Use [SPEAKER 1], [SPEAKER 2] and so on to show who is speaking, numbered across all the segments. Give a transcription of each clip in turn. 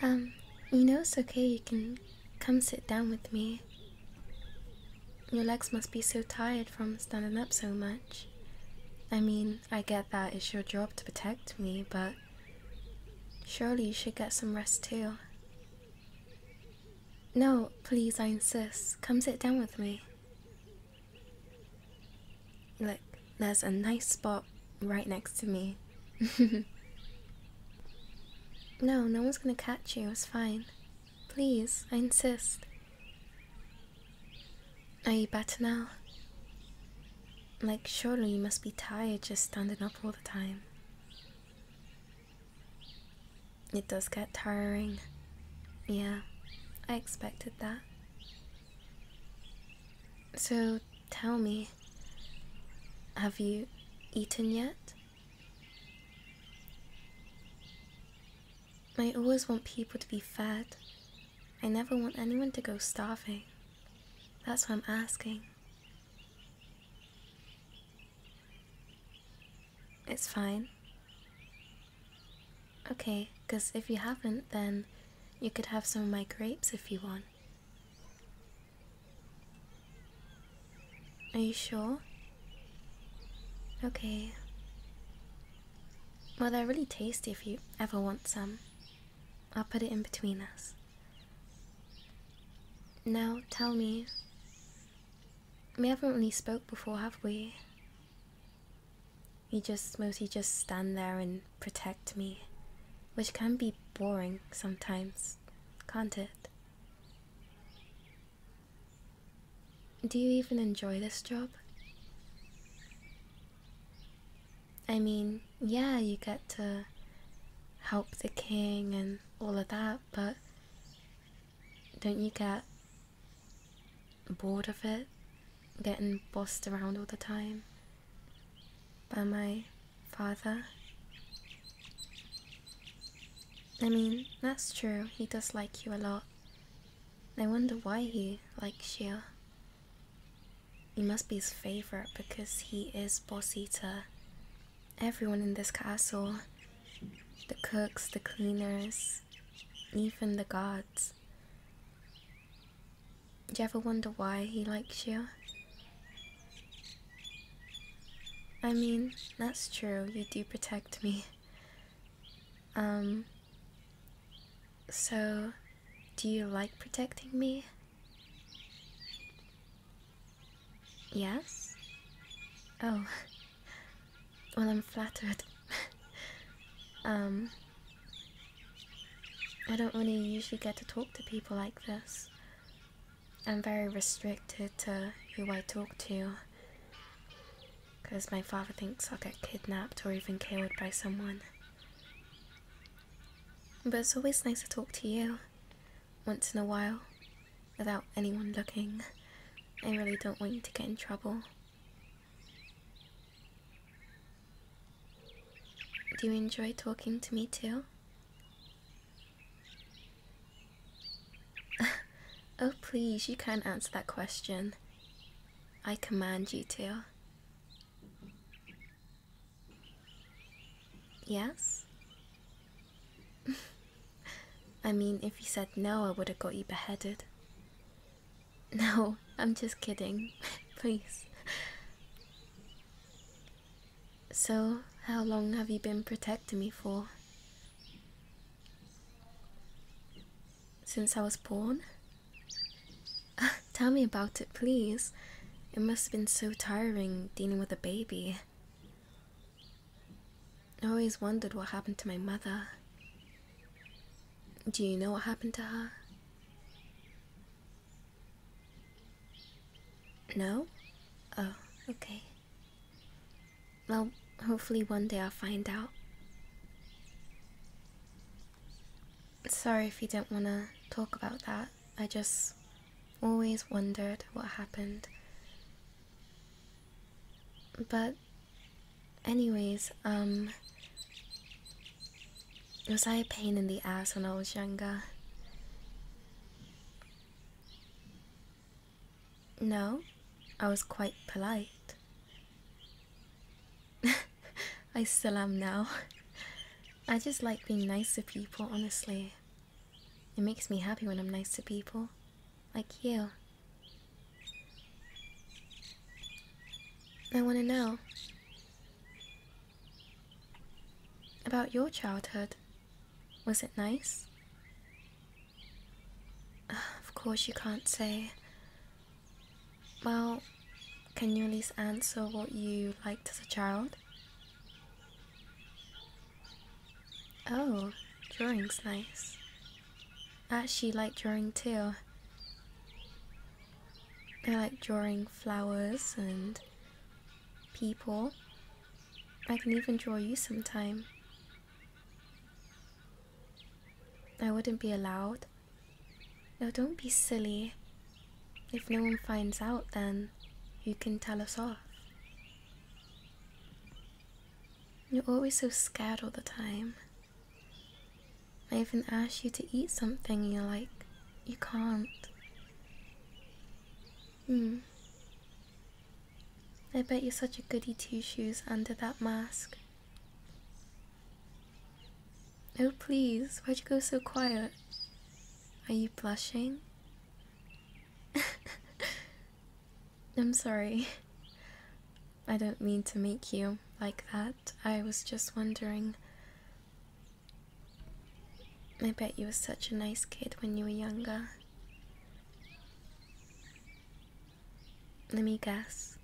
[SPEAKER 1] Um, you know it's okay, you can come sit down with me. Your legs must be so tired from standing up so much. I mean, I get that it's your job to protect me, but surely you should get some rest too. No, please, I insist. Come sit down with me. Look, there's a nice spot right next to me. no, no one's gonna catch you, it's fine. Please, I insist. Are you better now? Like, surely you must be tired just standing up all the time. It does get tiring. Yeah, I expected that. So tell me, have you eaten yet? I always want people to be fed. I never want anyone to go starving. That's why I'm asking. It's fine. Okay, because if you haven't, then you could have some of my grapes if you want. Are you sure? Okay. Well, they're really tasty if you ever want some. I'll put it in between us. Now, tell me. We haven't really spoke before, have we? You just mostly just stand there and protect me, which can be boring sometimes, can't it? Do you even enjoy this job? I mean, yeah, you get to help the king and all of that, but don't you get bored of it, getting bossed around all the time by my father. I mean, that's true, he does like you a lot. I wonder why he likes you. You must be his favorite because he is boss eater everyone in this castle the cooks, the cleaners, even the guards. Do you ever wonder why he likes you? I mean, that's true, you do protect me. Um, so, do you like protecting me? Yes? Oh. Well, I'm flattered. um. I don't really usually get to talk to people like this. I'm very restricted to who I talk to. Because my father thinks I'll get kidnapped or even killed by someone. But it's always nice to talk to you. Once in a while without anyone looking. I really don't want you to get in trouble. Do you enjoy talking to me too? oh please, you can't answer that question. I command you to. Yes? I mean, if you said no, I would have got you beheaded. No, I'm just kidding. Please. So, how long have you been protecting me for? Since I was born? Ah, tell me about it, please. It must have been so tiring dealing with a baby. I always wondered what happened to my mother. Do you know what happened to her? No? Oh, okay. Well, hopefully one day I'll find out. Sorry if you don't want to talk about that. I just always wondered what happened. But, anyways, um, was I a pain in the ass when I was younger? No, I was quite polite. I still am now. I just like being nice to people, honestly. It makes me happy when I'm nice to people, like you. I want to know about your childhood. Was it nice? Of course, you can't say. Well, can you at least answer what you liked as a child? Oh, drawing's nice. I actually like drawing too. I like drawing flowers and people. I can even draw you sometime. I wouldn't be allowed. No, don't be silly. If no one finds out, then you can tell us off. You're always so scared all the time. I even ask you to eat something, and you're like, you can't. Hmm. I bet you're such a goody two shoes under that mask. Oh, please, why'd you go so quiet? Are you blushing? I'm sorry. I don't mean to make you like that. I was just wondering. I bet you were such a nice kid when you were younger. Let me guess.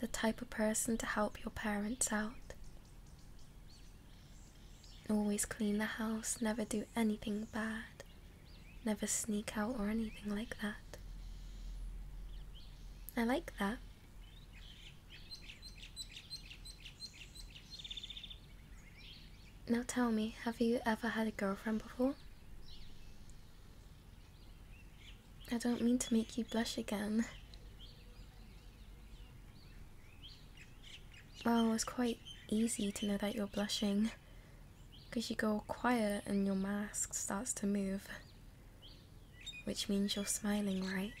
[SPEAKER 1] The type of person to help your parents out. Always clean the house, never do anything bad, never sneak out or anything like that. I like that. Now tell me, have you ever had a girlfriend before? I don't mean to make you blush again. Oh, it's quite easy to know that you're blushing because you go quiet and your mask starts to move, which means you're smiling, right?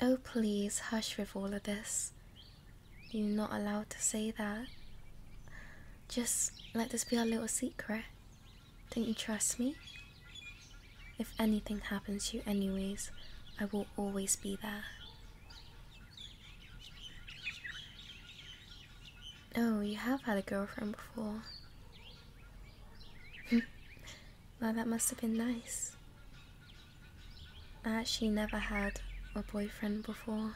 [SPEAKER 1] Oh, please hush with all of this. You're not allowed to say that. Just let this be our little secret. Don't you trust me? If anything happens to you, anyways, I will always be there. Oh, you have had a girlfriend before. well, that must have been nice. I actually never had a boyfriend before.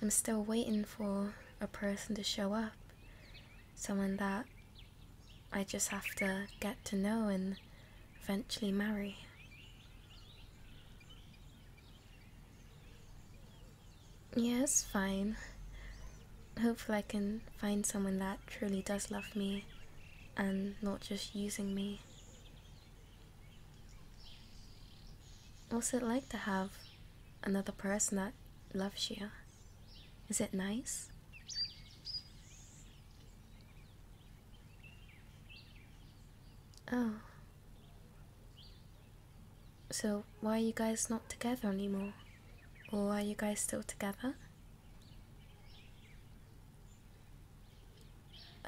[SPEAKER 1] I'm still waiting for a person to show up, someone that I just have to get to know and eventually marry. Yes, fine. Hopefully, I can find someone that truly does love me and not just using me. What's it like to have another person that loves you? Is it nice? Oh. So, why are you guys not together anymore? Or are you guys still together?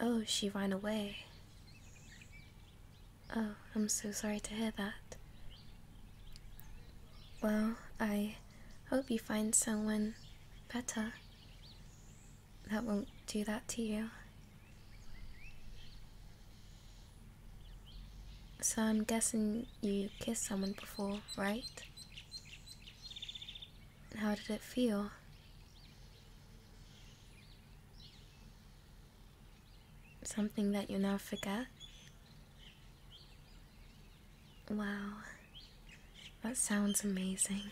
[SPEAKER 1] Oh, she ran away. Oh, I'm so sorry to hear that. Well, I hope you find someone better that won't do that to you. So I'm guessing you kissed someone before, right? How did it feel? Something that you now forget? Wow, that sounds amazing.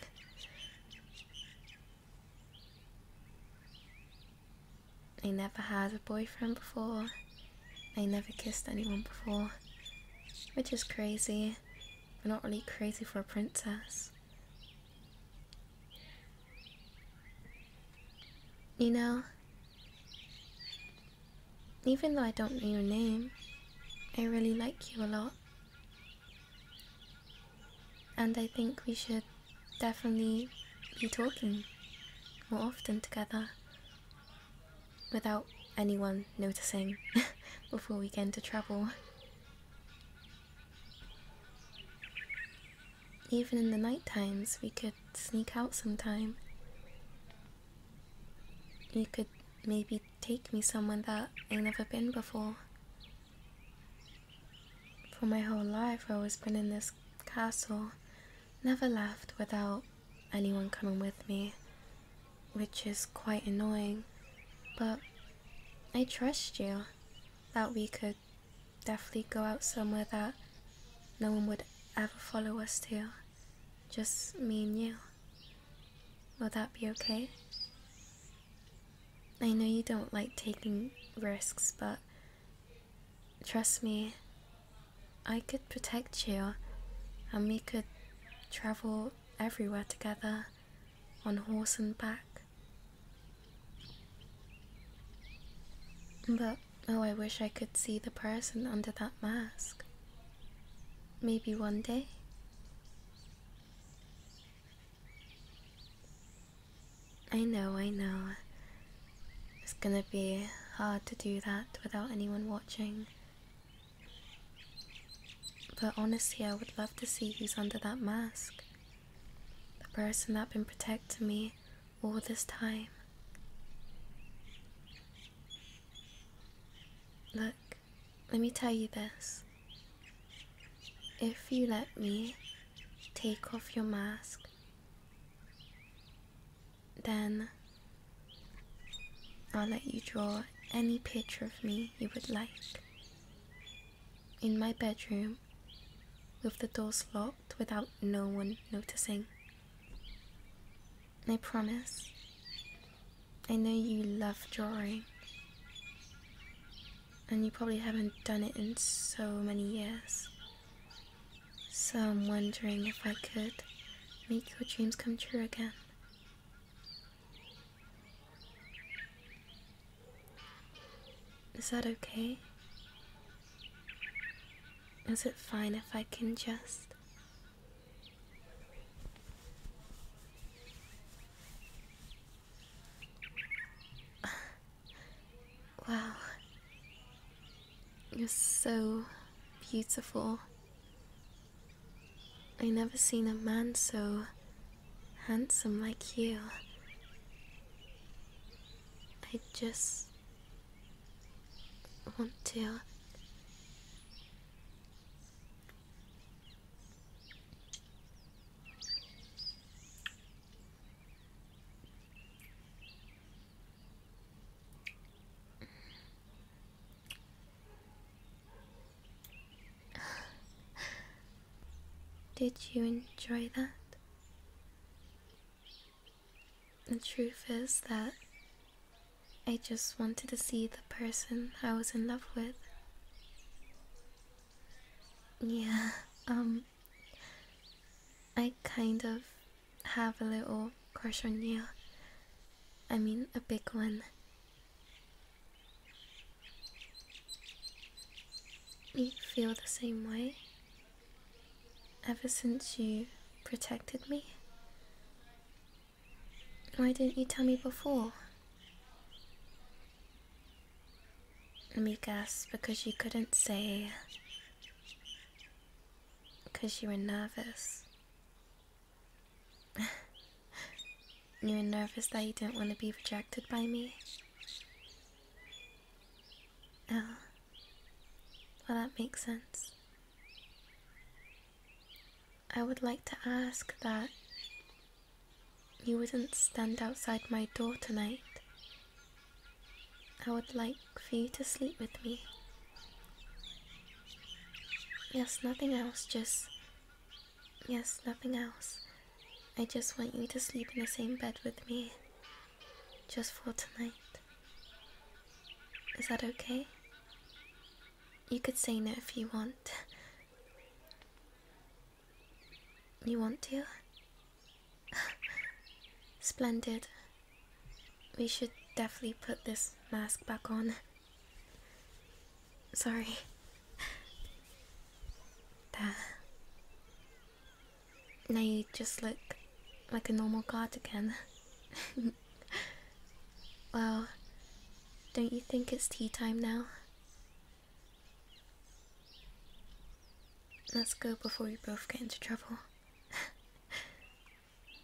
[SPEAKER 1] I never had a boyfriend before. I never kissed anyone before. Which is crazy, but not really crazy for a princess. You know, even though I don't know your name, I really like you a lot. And I think we should definitely be talking more often together without anyone noticing before we get into trouble. Even in the night times, we could sneak out sometime. You could maybe take me somewhere that I have never been before. For my whole life, I've always been in this castle, never left without anyone coming with me, which is quite annoying. But I trust you that we could definitely go out somewhere that no one would ever follow us to. Just me and you. Will that be okay? I know you don't like taking risks, but trust me, I could protect you and we could travel everywhere together on horse and back. But oh, I wish I could see the person under that mask. Maybe one day. I know, I know. It's gonna be hard to do that without anyone watching. But honestly, I would love to see who's under that mask the person that has been protecting me all this time. Look, let me tell you this. If you let me take off your mask, then I'll let you draw any picture of me you would like in my bedroom with the doors locked without no one noticing. I promise. I know you love drawing. And you probably haven't done it in so many years. So I'm wondering if I could make your dreams come true again. Is that okay? Is it fine if I can just. wow. You're so beautiful. I never seen a man so handsome like you. I just want to. Did you enjoy that? The truth is that I just wanted to see the person I was in love with. Yeah, um, I kind of have a little crush on you. I mean, a big one. You feel the same way? Ever since you protected me? Why didn't you tell me before? Let me guess, because you couldn't say. Because you were nervous. you were nervous that you didn't want to be rejected by me? Oh. Well, that makes sense. I would like to ask that you wouldn't stand outside my door tonight. I would like for you to sleep with me. Yes, nothing else, just. Yes, nothing else. I just want you to sleep in the same bed with me. Just for tonight. Is that okay? You could say no if you want. You want to? Splendid. We should definitely put this mask back on. Sorry. That. Now you just look like a normal god again. well, don't you think it's tea time now? Let's go before we both get into trouble.